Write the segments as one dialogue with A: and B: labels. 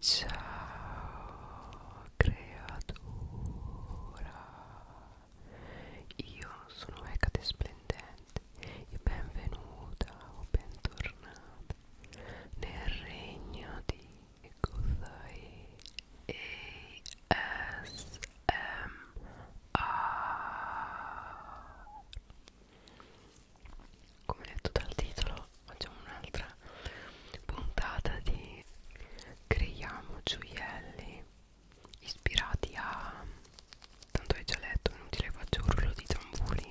A: Ciao creatura, io sono Hecate Splendente e benvenuta o bentornata nel regno di Gozai ASMR come detto dal titolo facciamo un'altra puntata di creiamo gioielli ispirati a tanto hai già letto inutile faccio urlo di tamburi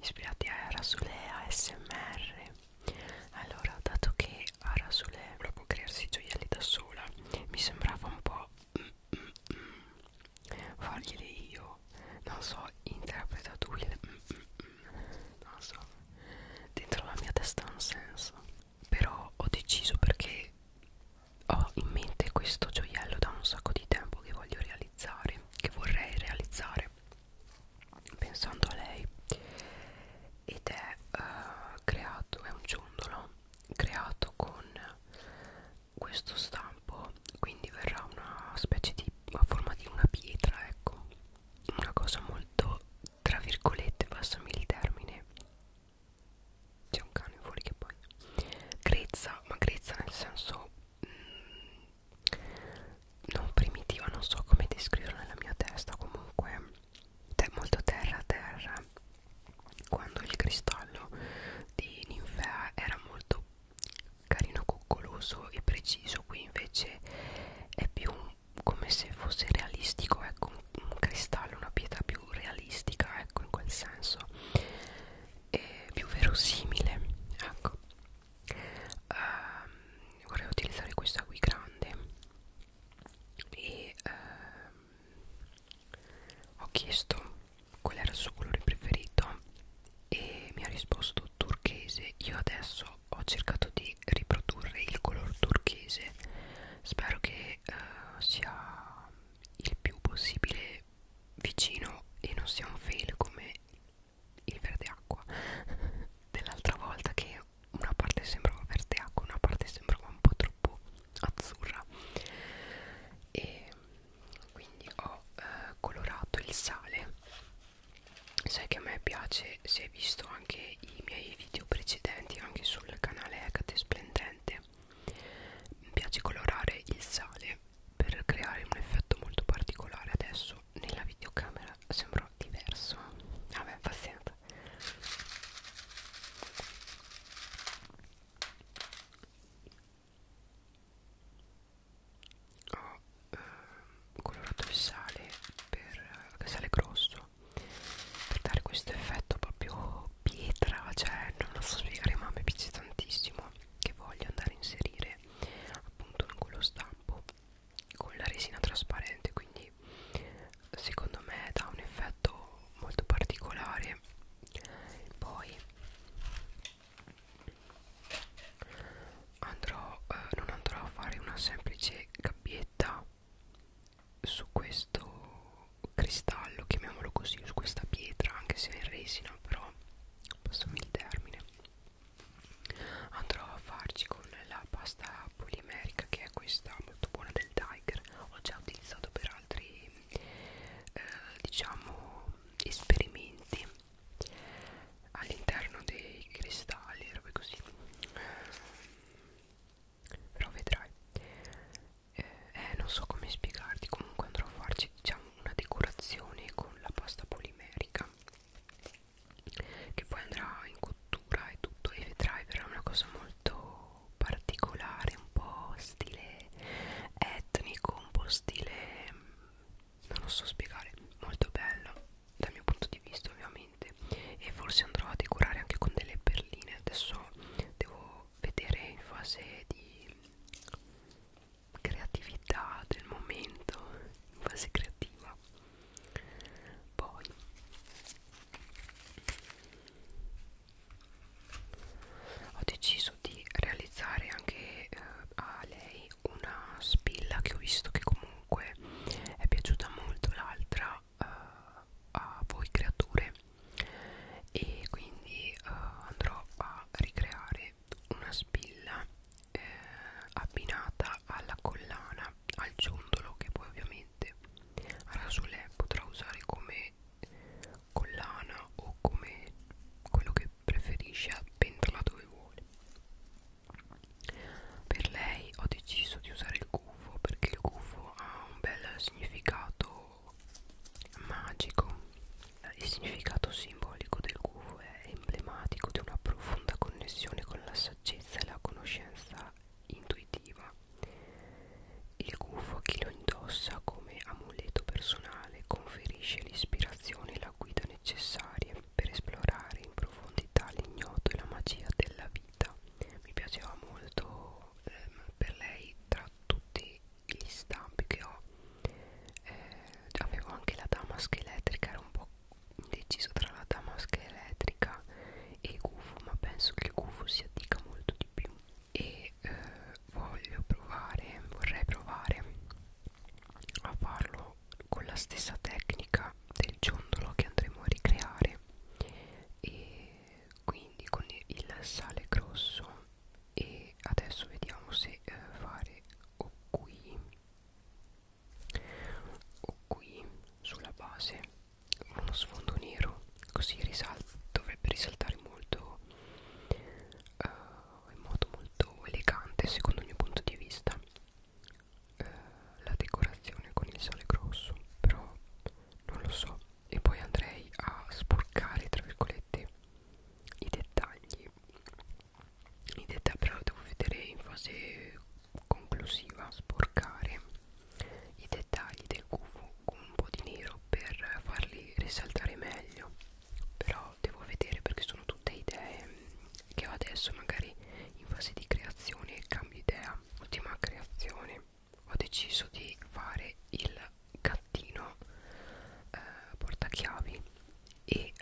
A: ispirati a Arasule ASMR allora dato che Arasule proprio crearsi i gioielli da sola mi sembrava un po' mm, mm, mm, farglieli io non so, interpreta tu il mm, mm, mm, non so, dentro la mia testa ha un senso. Però ho deciso perché ho in mente questo gioiello da un sacco di tempo che voglio realizzare, che vorrei realizzare, pensando a lei. Ed è uh, creato, è un ciondolo creato con questo stampo quindi verrà una specie di a forma di una pietra ecco una cosa molto tra virgolette passami il termine c'è un cane fuori che poi grezza ma grezza nel senso mh, mm, non primitiva non so come descriverla nella mia testa comunque è molto terra terra quando il cristallo di ninfea era molto carino coccoloso e preciso qui invece è più come se fosse realistico ecco un cristallo una pietra più realistica ecco in quel senso e più verosimile ecco uh, vorrei utilizzare questa qui grande e uh, ho chiesto qual era il suo colore preferito e mi ha risposto turchese io adesso ho cercato di riprodurre il color turchese spero che uh, sia il più possibile vicino e non sia un fail come il verde acqua dell'altra volta che una parte sembrava verde acqua una parte sembrava un po' troppo azzurra e quindi ho eh, colorato il sale sai che a me piace se hai visto anche i miei video precedenti anche sul canale Hecate Splendente mi piace colorare il sale per creare un effetto molto particolare adesso nella videocamera sembra diverso vabbè pazienza ho eh, colorato il sale per eh, il sale grosso per dare questo effetto proprio pietra cioè non lo so spiegare ma mi piace tantissimo che voglio andare a inserire appunto in quello stampo con la resina trasparente quindi secondo me dà un effetto molto particolare poi andrò eh, non andrò a fare una semplice gabbietta su questo cristallo chiamiamolo così su questa pietra anche se è in resina però passami il termine andrò a farci con la pasta polimerica che è questa molto buona del tiger ho già utilizzato per altri eh, diciamo esperimenti all'interno dei cristalli robe così ehm, però vedrai eh, eh non so come spiegarti comunque andrò a farci diciamo una decorazione con la pasta polimerica che poi andrà in cottura e tutto e vedrai verrà una cosa molto particolare un po' stile etnico un po' stile non lo so spiegare molto bello dal mio punto di vista ovviamente e forse andrò a decorare anche con delle perline adesso devo vedere in fase di creatività del momento in fase creativa poi ho deciso di realizzare anche eh, a lei una spilla che ho visto che comunque è piaciuta molto l'altra uh, a voi creature e quindi uh, andrò a ricreare una spilla eh, abbinata alla collana al ciondolo che poi ovviamente a rasulè potrà usare come collana o come quello che preferisce appendala dove vuole per lei ho deciso di usare il gufo perché il gufo ha un bel significato magico. Il significato simbolico del gufo è emblematico di una profonda connessione con la saggezza e la conoscenza intuitiva. Il gufo a chi lo indossa come amuleto personale conferisce l'ispirazione e la la guida necessaria per esplorare in profondità l'ignoto e la magia della vita. Mi piaceva molto ehm, per lei tra tutti gli stampi che ho. Eh, avevo anche la damasca elettrica, era un po' indeciso tra la damasca elettrica e il gufo, ma penso che il gufo si addica molto di più. E eh, voglio provare, vorrei provare a farlo con la stessa tecnica del ciondolo che andremo a ricreare e quindi con il sale grosso e adesso vediamo se eh, fare o qui o qui sulla base uno sfondo nero così risal dovrebbe risaltare molto uh, in modo molto elegante secondo il mio punto di vista eh, la decorazione con il sale grosso però non lo so e poi andrei a sporcare tra virgolette i dettagli i dettagli però devo vedere in fase conclusiva sporcare i dettagli del gufo con un po' di nero per farli risaltare meglio però devo vedere perché sono tutte idee che ho adesso magari in fase di creazione e cambio idea ultima creazione ho deciso di fare il gattino eh, portachiavi e eh,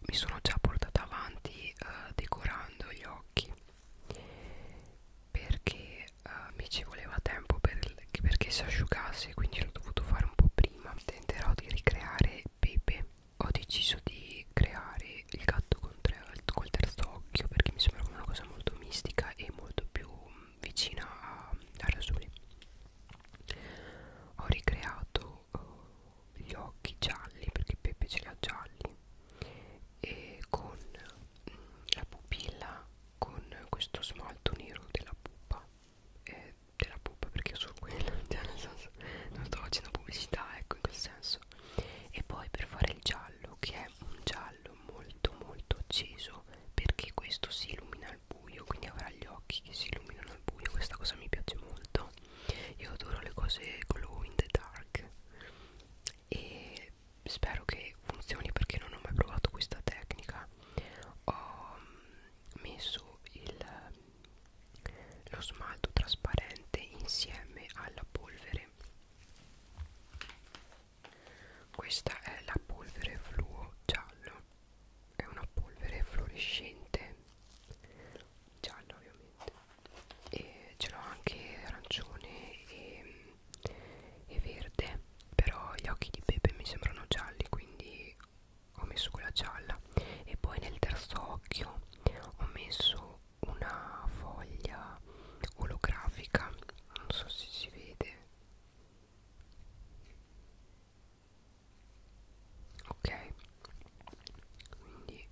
A: mi sono già portata avanti eh, decorando gli occhi perché eh, mi ci voleva tempo per, perché si asciugasse quindi l'ho dovuto fare un po' prima tenterò di ricreare Pepe ho deciso di creare il gatto con tre, col terzo occhio perché mi sembrava una cosa molto mistica e molto più mm, vicina a, a Rasuli ho ricreato uh, gli occhi gialli perché Pepe ce li ha gialli e con mh, mm, la pupilla con questo smalto nero della pupa eh, della pupa perché io sono quella non sto facendo pubblicità ecco in quel senso basso e poi per fare il giallo che è un giallo molto molto acceso perché questo si illumina al buio quindi avrà gli occhi che si illuminano al buio questa cosa mi piace molto io adoro le cose glow in the dark e spero che funzioni perché non ho mai provato questa tecnica ho messo il lo smalto trasparente insieme alla polvere questa è la polvere fluo giallo è una polvere fluorescente gialla ovviamente e ce l'ho anche arancione e, e verde però gli occhi di Pepe mi sembrano gialli quindi ho messo quella gialla e poi nel terzo occhio ho messo una foglia olografica non so se si vede ok quindi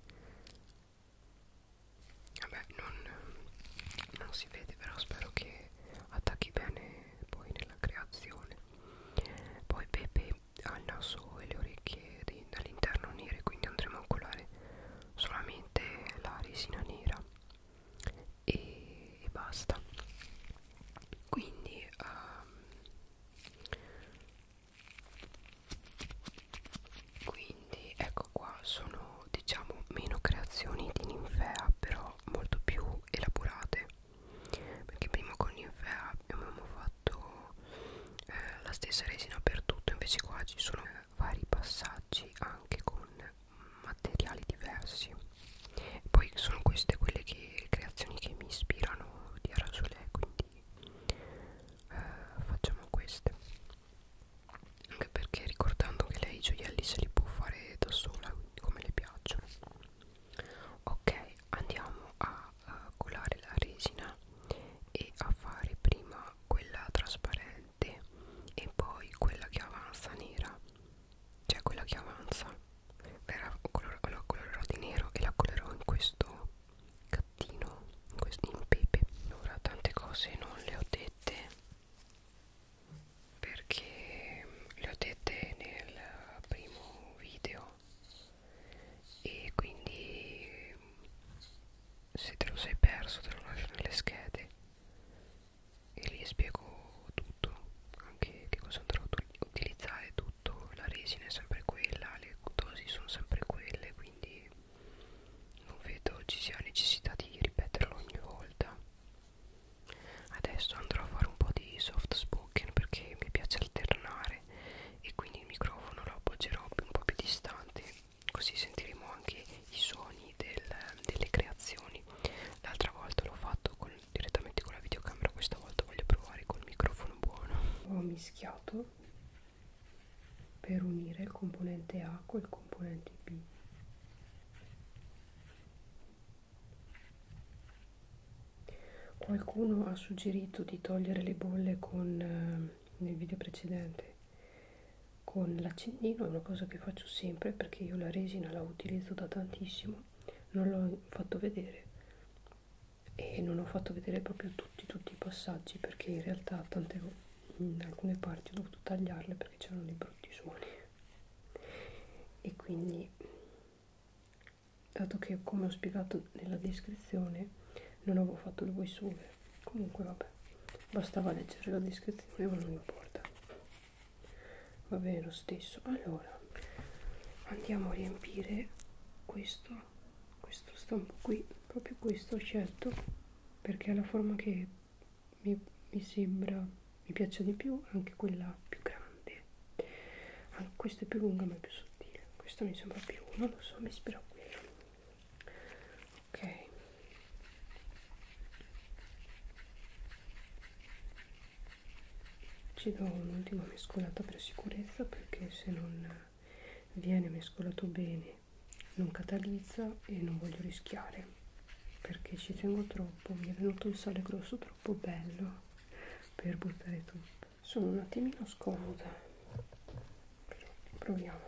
A: vabbè non, non si vede però spero che attacchi bene poi nella creazione poi Pepe che ha il naso e le orecchie dall'interno nere quindi andremo a colare solamente la resina nera e, e basta quindi um, quindi ecco qua sono diciamo meno creazioni di ninfea però molto più elaborate perché prima con ninfea abbiamo fatto usato eh, la stessa resina per tutto invece qua ci sono eh, vari passaggi anche con materiali diversi poi sono queste quelle che creazioni che mi ispirano di Arasolè quindi eh, facciamo queste anche perché ricordando che lei i gioielli se li può fare da sola come le piacciono ok andiamo a a colare la resina e a fare prima quella trasparente e poi quella che avanza nera cioè quella che avanza verrà color la colorerò di nero e la colorerò in questo gattino in, questo, in pepe ora tante cose non le ho dette perché le ho dette nel primo video e quindi se te lo sei perso te lo lascio nelle schede e lì spiego tutto anche che cosa andrò ad utilizzare tutto la resina è sempre quella le dosi sono sempre quelle quindi non vedo ci sia necessità di ripeterlo ogni volta adesso andrò a fare un po' di soft spoken perché mi piace alternare parlare e quindi il microfono lo appoggerò un po' più distante così sentiremo anche i suoni del, delle creazioni l'altra volta l'ho fatto con, direttamente con la videocamera questa volta voglio provare col microfono buono ho mischiato per unire il componente A col componente B Qualcuno ha suggerito di togliere le bolle con eh, nei video precedenti con l'accendino è una cosa che faccio sempre perché io la resina la utilizzo da tantissimo non l'ho fatto vedere e non ho fatto vedere proprio tutti tutti i passaggi perché in realtà tante, in alcune parti ho dovuto tagliarle perché c'erano dei brutti suoni e quindi dato che come ho spiegato nella descrizione non avevo fatto il voice over comunque vabbè bastava leggere la descrizione ma non importa va bene lo stesso allora andiamo a riempire questo questo stampo qui proprio questo ho scelto perché è la forma che mi, mi sembra mi piace di più anche quella più grande anche questa è più lunga ma è più sottile questa mi sembra più non lo so mi ispira a quella ok ci do un'ultima mescolata per sicurezza perché se non viene mescolato bene non catalizza e non voglio rischiare perché ci tengo troppo mi è venuto il sale grosso troppo bello per buttare tutto sono un attimino scomoda però proviamo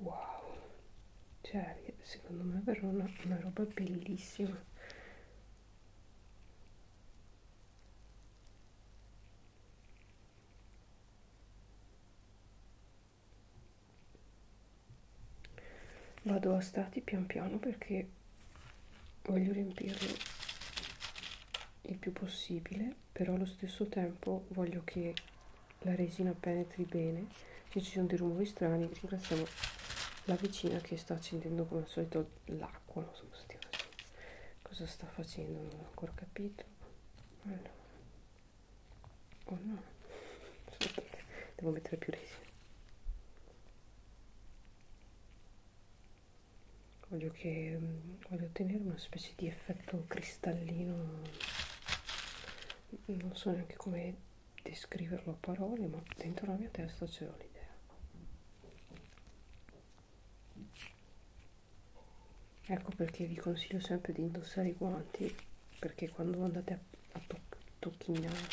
A: Wow, cioè secondo me per una, una roba bellissima vado a stati pian piano perché voglio riempirlo il più possibile però allo stesso tempo voglio che la resina penetri bene se ci sono dei rumori strani ringraziamo la vicina che sta accendendo come al solito l'acqua non so cosa sta facendo non ho ancora capito allora. oh no devo mettere più resina voglio che mm, voglio ottenere una specie di effetto cristallino non so neanche come descriverlo a parole ma dentro la mia testa c'era l'idea ecco perché vi consiglio sempre di indossare i guanti perché quando andate a, a toc tocchinare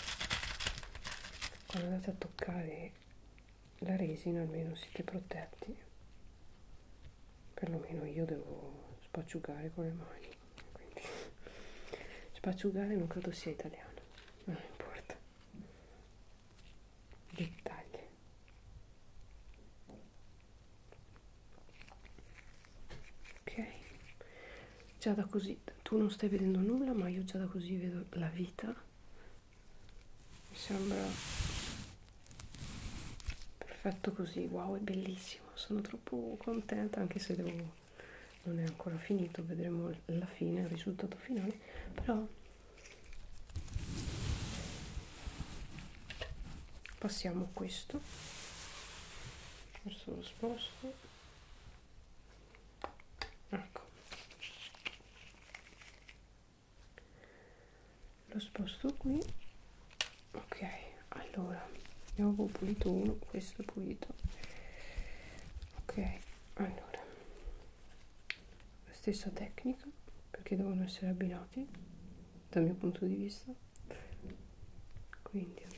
A: quando andate a toccare la resina almeno siete protetti perlomeno io devo spacciugare con le mani quindi spacciugare non credo sia italiano non importa dettagli ok già da così tu non stai vedendo nulla ma io già da così vedo la vita mi sembra perfetto così wow è bellissimo sono troppo contenta anche se devo non è ancora finito vedremo la fine il risultato finale però passiamo questo adesso lo sposto ecco lo sposto qui ok allora ne avevo pulito uno questo è pulito ok allora la stessa tecnica perché devono essere abbinati dal mio punto di vista quindi andiamo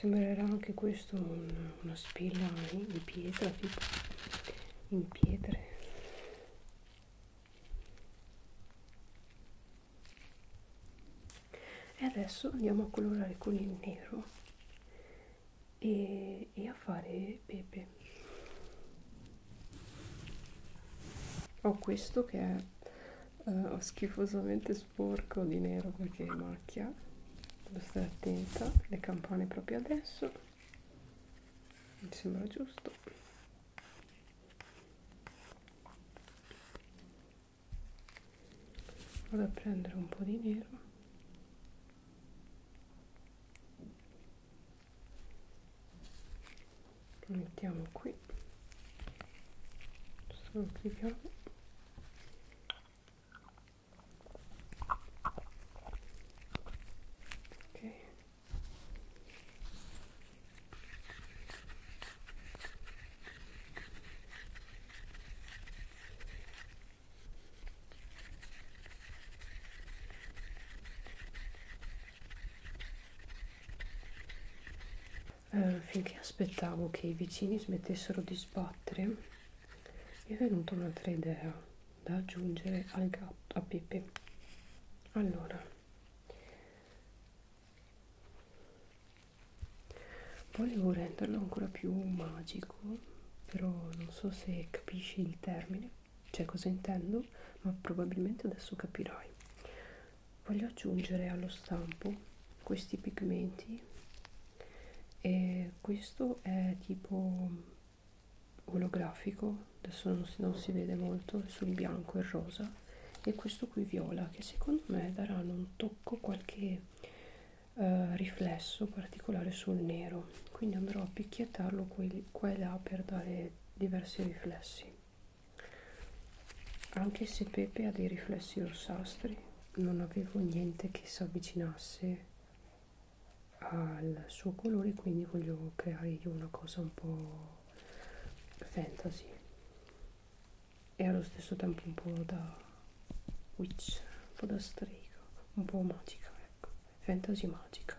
A: sembrerà anche questo un, una spilla in pietra tipo in pietre e adesso andiamo a colorare con il nero e, e a fare pepe ho questo che è uh, schifosamente sporco di nero perché macchia devo stare attenta le campane proprio adesso mi sembra giusto vado a prendere un po' di nero lo mettiamo qui solo clicchiamo ok eh, finché aspettavo che i vicini smettessero di sbattere, mi è venuta un'altra idea da aggiungere al gatto a Pepe. Allora, volevo renderlo ancora più magico però non so se capisci il termine cioè cosa intendo ma probabilmente adesso capirai voglio aggiungere allo stampo questi pigmenti e questo è tipo mm, olografico adesso non si, non si vede molto sul bianco e rosa e questo qui viola che secondo me daranno un tocco qualche eh, riflesso particolare sul nero quindi andrò a picchiettarlo quelli, qua e là per dare diversi riflessi anche se Pepe ha dei riflessi rossastri non avevo niente che si avvicinasse al suo colore quindi voglio creare io una cosa un po' fantasy e allo stesso tempo un po' da witch, un po' da strega, un po' magica, ecco, fantasy magica.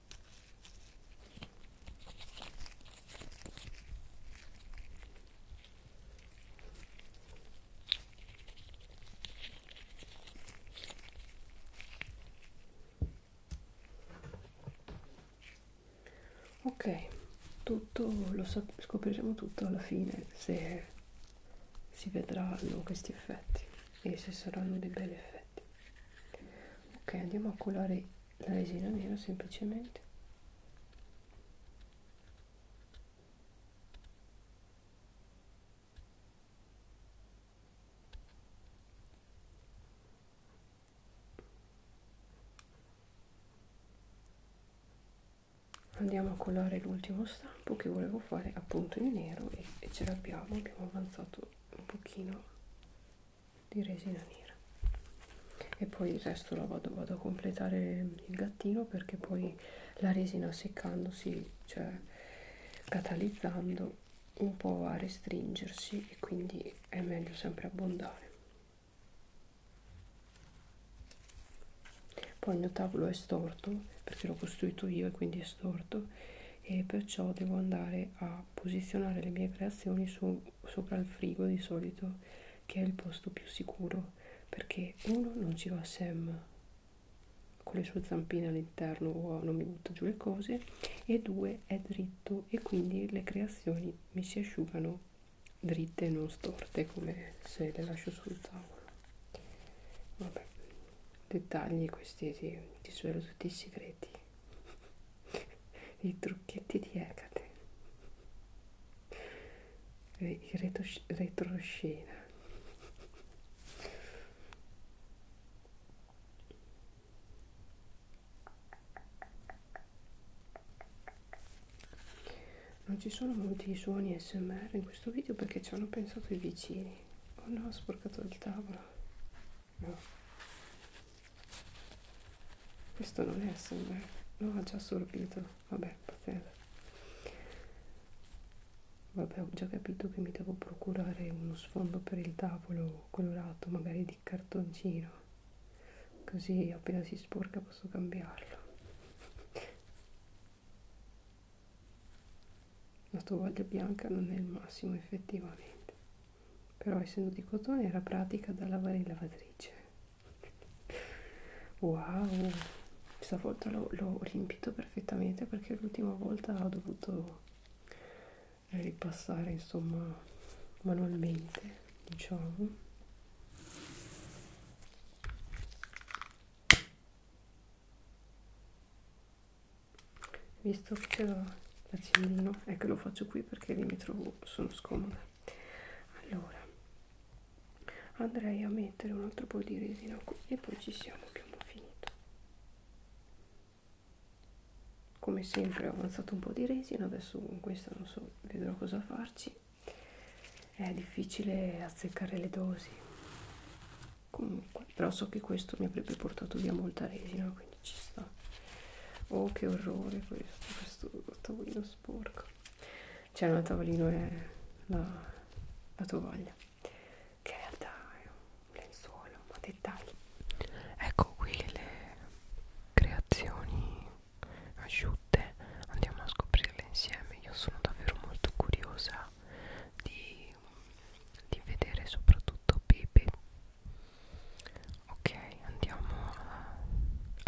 A: Ok, tutto lo scopriremo tutto alla fine se si vedranno questi effetti e se saranno dei belli effetti effetti ok andiamo a colare la resina nera semplicemente andiamo a colare l'ultimo stampo che volevo fare appunto in nero e, e ce l'abbiamo abbiamo avanzato un pochino di resina nera e poi il resto lo vado, vado a completare il gattino perché poi la resina seccandosi cioè catalizzando un po' va a restringersi e quindi è meglio sempre abbondare poi il mio tavolo è storto perché l'ho costruito io e quindi è storto e perciò devo andare a posizionare le mie creazioni su, sopra il frigo di solito che è il posto più sicuro perché uno non ci va Sam con le sue zampine all'interno o non mi butta giù le cose e due è dritto e quindi le creazioni mi si asciugano dritte e non storte come se le lascio sul tavolo vabbè dettagli questi ti, ti svelo tutti i segreti i trucchetti di Ecate il retroscena non ci sono molti suoni smr in questo video perché ci hanno pensato i vicini oh no ho sporcato il tavolo no. questo non è sembra l'ho già assorbito vabbè pazienza vabbè ho già capito che mi devo procurare uno sfondo per il tavolo colorato magari di cartoncino così appena si sporca posso cambiarlo la tovaglia bianca non è il massimo effettivamente però essendo di cotone era pratica da lavare in lavatrice wow questa volta l'ho riempito perfettamente perché l'ultima volta ho dovuto eh, ripassare insomma manualmente diciamo visto che c'è l'accendino è che lo faccio qui perché lì mi trovo sono scomoda allora andrei a mettere un altro po' di resina qui e poi ci siamo più finito come sempre ho avanzato un po' di resina adesso con questa non so vedrò cosa farci è difficile azzeccare le dosi comunque però so che questo mi avrebbe portato via molta resina quindi bagno ci sta oh che orrore questo questo tavolino sporco c'è una tavolino e la, la tovaglia che in realtà è un lenzuolo ma dettagli ecco qui le creazioni asciutte andiamo a scoprirle insieme io sono davvero molto curiosa di, di vedere soprattutto Pepe ok andiamo a...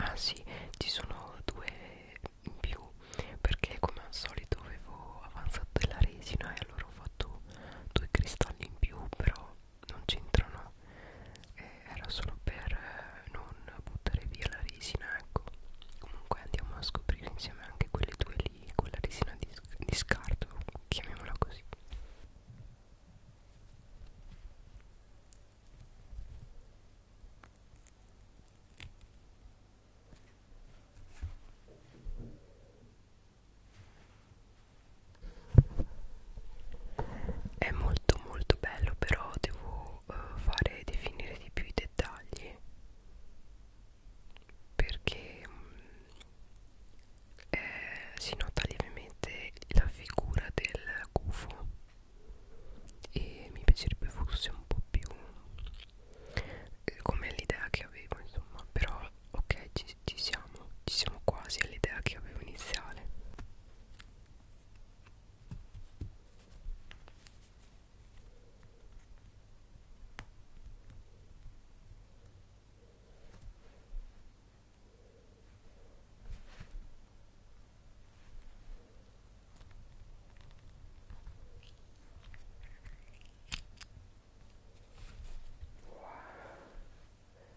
A: ah sì ci sono due in più perché come al solito avevo avanzato della resina e allora ho fatto due cristalli in più però non c'entrano eh, era solo per eh, non buttare via la resina ecco comunque andiamo a scoprire insieme anche quelle due lì quella resina di, di scarto chiamiamola così è molto molto bello, però devo uh, fare definire di più i dettagli perché mh, mm, eh, si nota lievemente la figura del gufo e mi piacerebbe fosse un po' più eh, come l'idea che avevo insomma però ok ci, ci siamo ci siamo quasi all'idea che avevo iniziale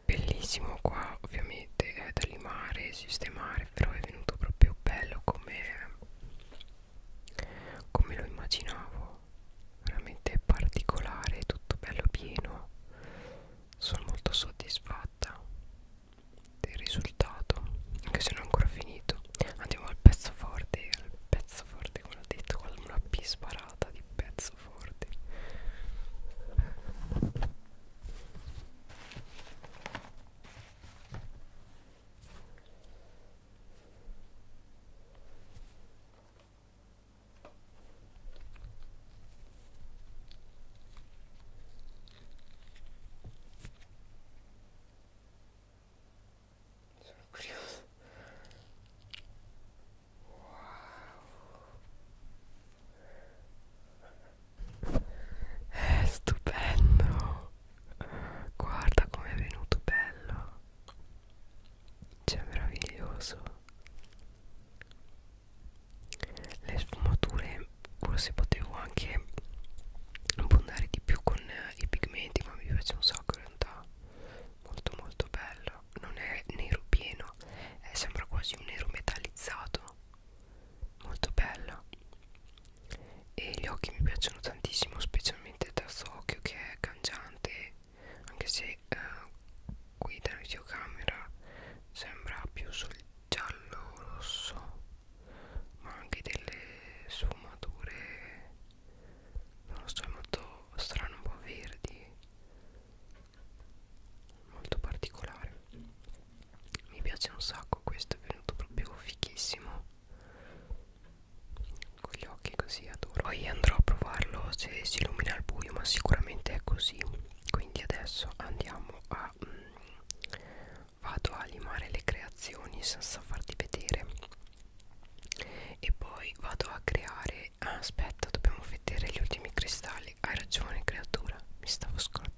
A: Bellissimo qua ovviamente è da limare e sistemare però è venuto proprio bello come, come lo immaginavo veramente particolare tutto bello pieno sono molto soddisfatta del risultato anche se non è ancora finito andiamo al pezzo forte al pezzo forte come ho detto con una p sparata di pezzo forte sono curioso. Wow. È stupendo. Guarda com'è venuto bello. Cioè meraviglioso le sfumature forse potevo anche abbondare di più con eh, i pigmenti ma mi piace un sacco in realtà molto molto bello non è nero pieno è, eh, sembra quasi un nero metallizzato molto bello e gli occhi mi piacciono tantissimo specialmente il terzo occhio che è cangiante anche se eh, qui dalla videocamera sembra più sul giallo rosso ma anche delle sfumature non lo so è molto strano un po' verdi molto particolare mi piace un sacco questo è venuto proprio fichissimo con gli occhi così adoro poi andrò a provarlo se si illumina al buio ma sicuramente è così quindi adesso andiamo a mh, mm, vado a limare le creazioni senza farti vedere e poi vado a creare ah, aspetta dobbiamo vedere gli ultimi cristalli hai ragione creatura mi stavo scordando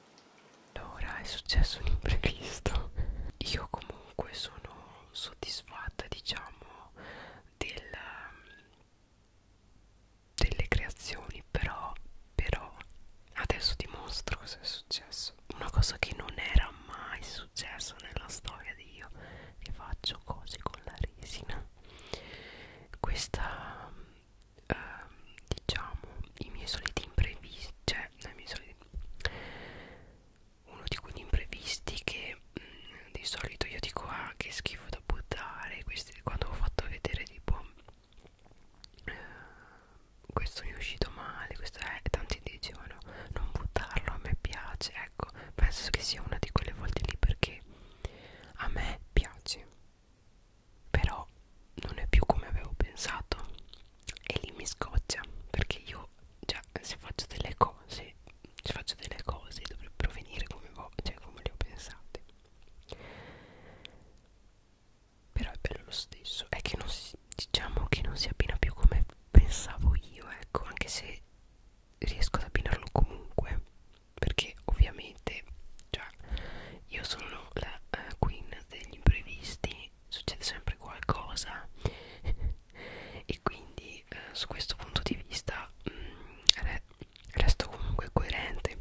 A: Allora è successo un imprevisto Io comunque sono soddisfatta diciamo del, delle creazioni però, però adesso dimostro cosa è successo Una cosa che non era mai successa nella storia di io Che faccio cose con la resina Questa... Uh, diciamo i miei soliti imprevisti cioè cioè dai miei soliti uno di quegli imprevisti che mh, mm, di solito io dico ah che schifo da buttare questi, quando ho fatto vedere tipo eh, questo mi è uscito male questo è tanti dicevano non buttarlo a me piace ecco penso che sia una di quelle volte lì perché a me piace però non è più come avevo pensato e lì mi scoccia perché io già se faccio delle cose se faccio delle cose dovrebbero venire come, cioè come le ho pensate però è bello lo stesso è che non si, diciamo che non si abbina più come pensavo io ecco anche se riesco ad abbinarlo comunque perché ovviamente cioè, io sono la uh, queen degli imprevisti succede sempre qualcosa e quindi eh, su questo punto di vista mh, mm, re resto comunque coerente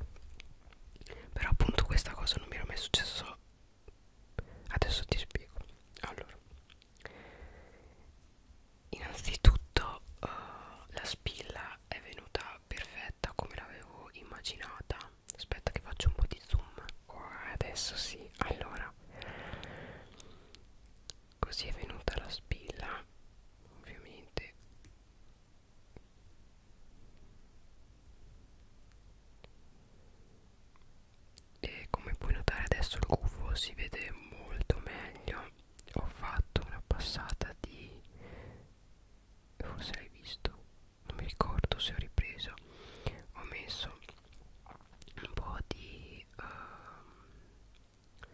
A: però appunto questa cosa non mi era mai successo adesso ti spiego allora innanzitutto uh, la spilla è venuta perfetta come l'avevo immaginata aspetta che faccio un po' di zoom qua adesso sì allora così è venuta la spilla ovviamente e come puoi notare adesso il gufo si vede molto meglio ho fatto una passata di forse l'hai visto non mi ricordo se ho ripreso ho messo un po' di uh,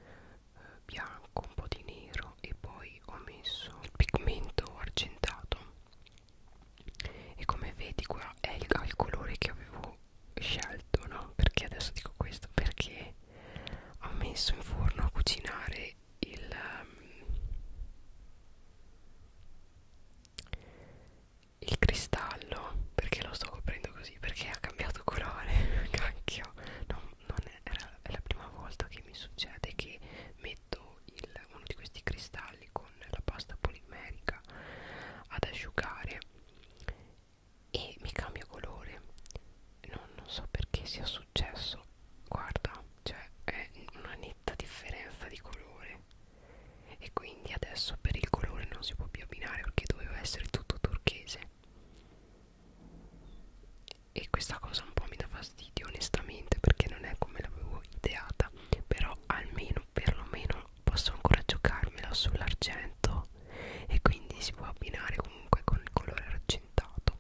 A: bianco un po' di nero e poi ho messo il pigmento argentato e come vedi qua è il, il colore che avevo scelto no perché adesso dico questo perché ho messo in forno a cucinare il um, il cristallo perché lo sto coprendo così perché ha cambiato colore cacchio non, non è, è, la, è la prima volta che mi succede che metto il, uno di questi cristalli con la pasta polimerica ad asciugare e mi cambia colore non, non so perché sia successo guarda cioè è una netta differenza di colore e quindi adesso per il colore non si può più abbinare perché doveva essere tutto turchese e questa cosa un po' mi dà fastidio onestamente perché non è come l'avevo ideata però almeno perlomeno posso ancora giocarmela sull'argento e quindi si può abbinare comunque con il colore argentato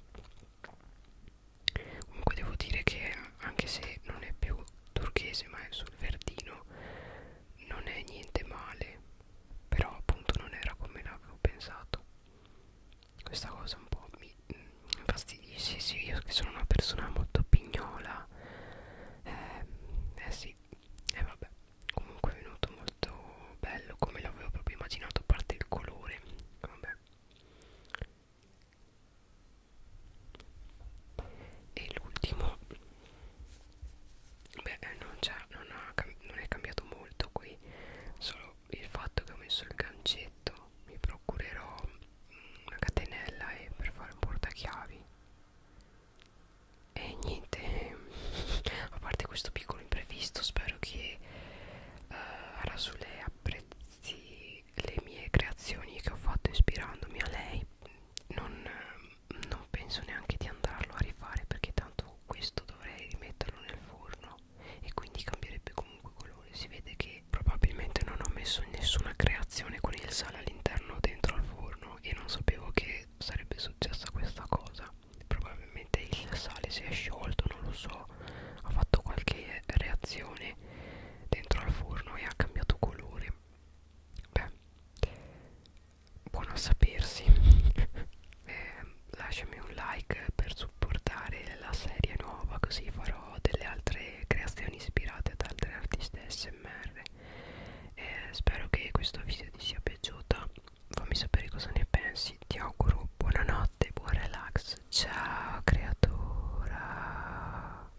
A: comunque devo dire che anche se non è più turchese ma è sul verdino non è niente male però appunto non era come l'avevo pensato questa cosa un po' mi mm, infastidisce sì io che sono una persona molto pignola eh, eh sì e eh vabbè comunque è venuto molto bello come l'avevo proprio immaginato a parte il colore vabbè e l'ultimo beh eh, non, non, ha, non è cambiato molto qui solo il fatto che ho messo il gancetto mi procurerò mm, una catenella e per fare un portachiavi e niente a parte questo piccolo imprevisto spero che uh, eh, Rasulè apprezzi le mie creazioni che ho fatto ispirandomi a lei non, non penso neanche di andarlo a rifare perché tanto questo dovrei rimetterlo nel forno e quindi cambierebbe comunque colore si vede che probabilmente non ho messo nessuna creazione con il sale all'interno dentro al forno e non sapevo che sarebbe successa questa cosa probabilmente il sale si è sciolto non lo so ha fatto qualche reazione dentro al forno e ha cambiato colore Beh, buono a sapersi. eh, lasciami un like per supportare la serie nuova, così farò delle altre creazioni ispirate ad altre artiste SMR. Eh, spero che questo video ti sia piaciuto. Fammi sapere cosa ne pensi. Ti auguro buonanotte, buon relax. Ciao, creatura.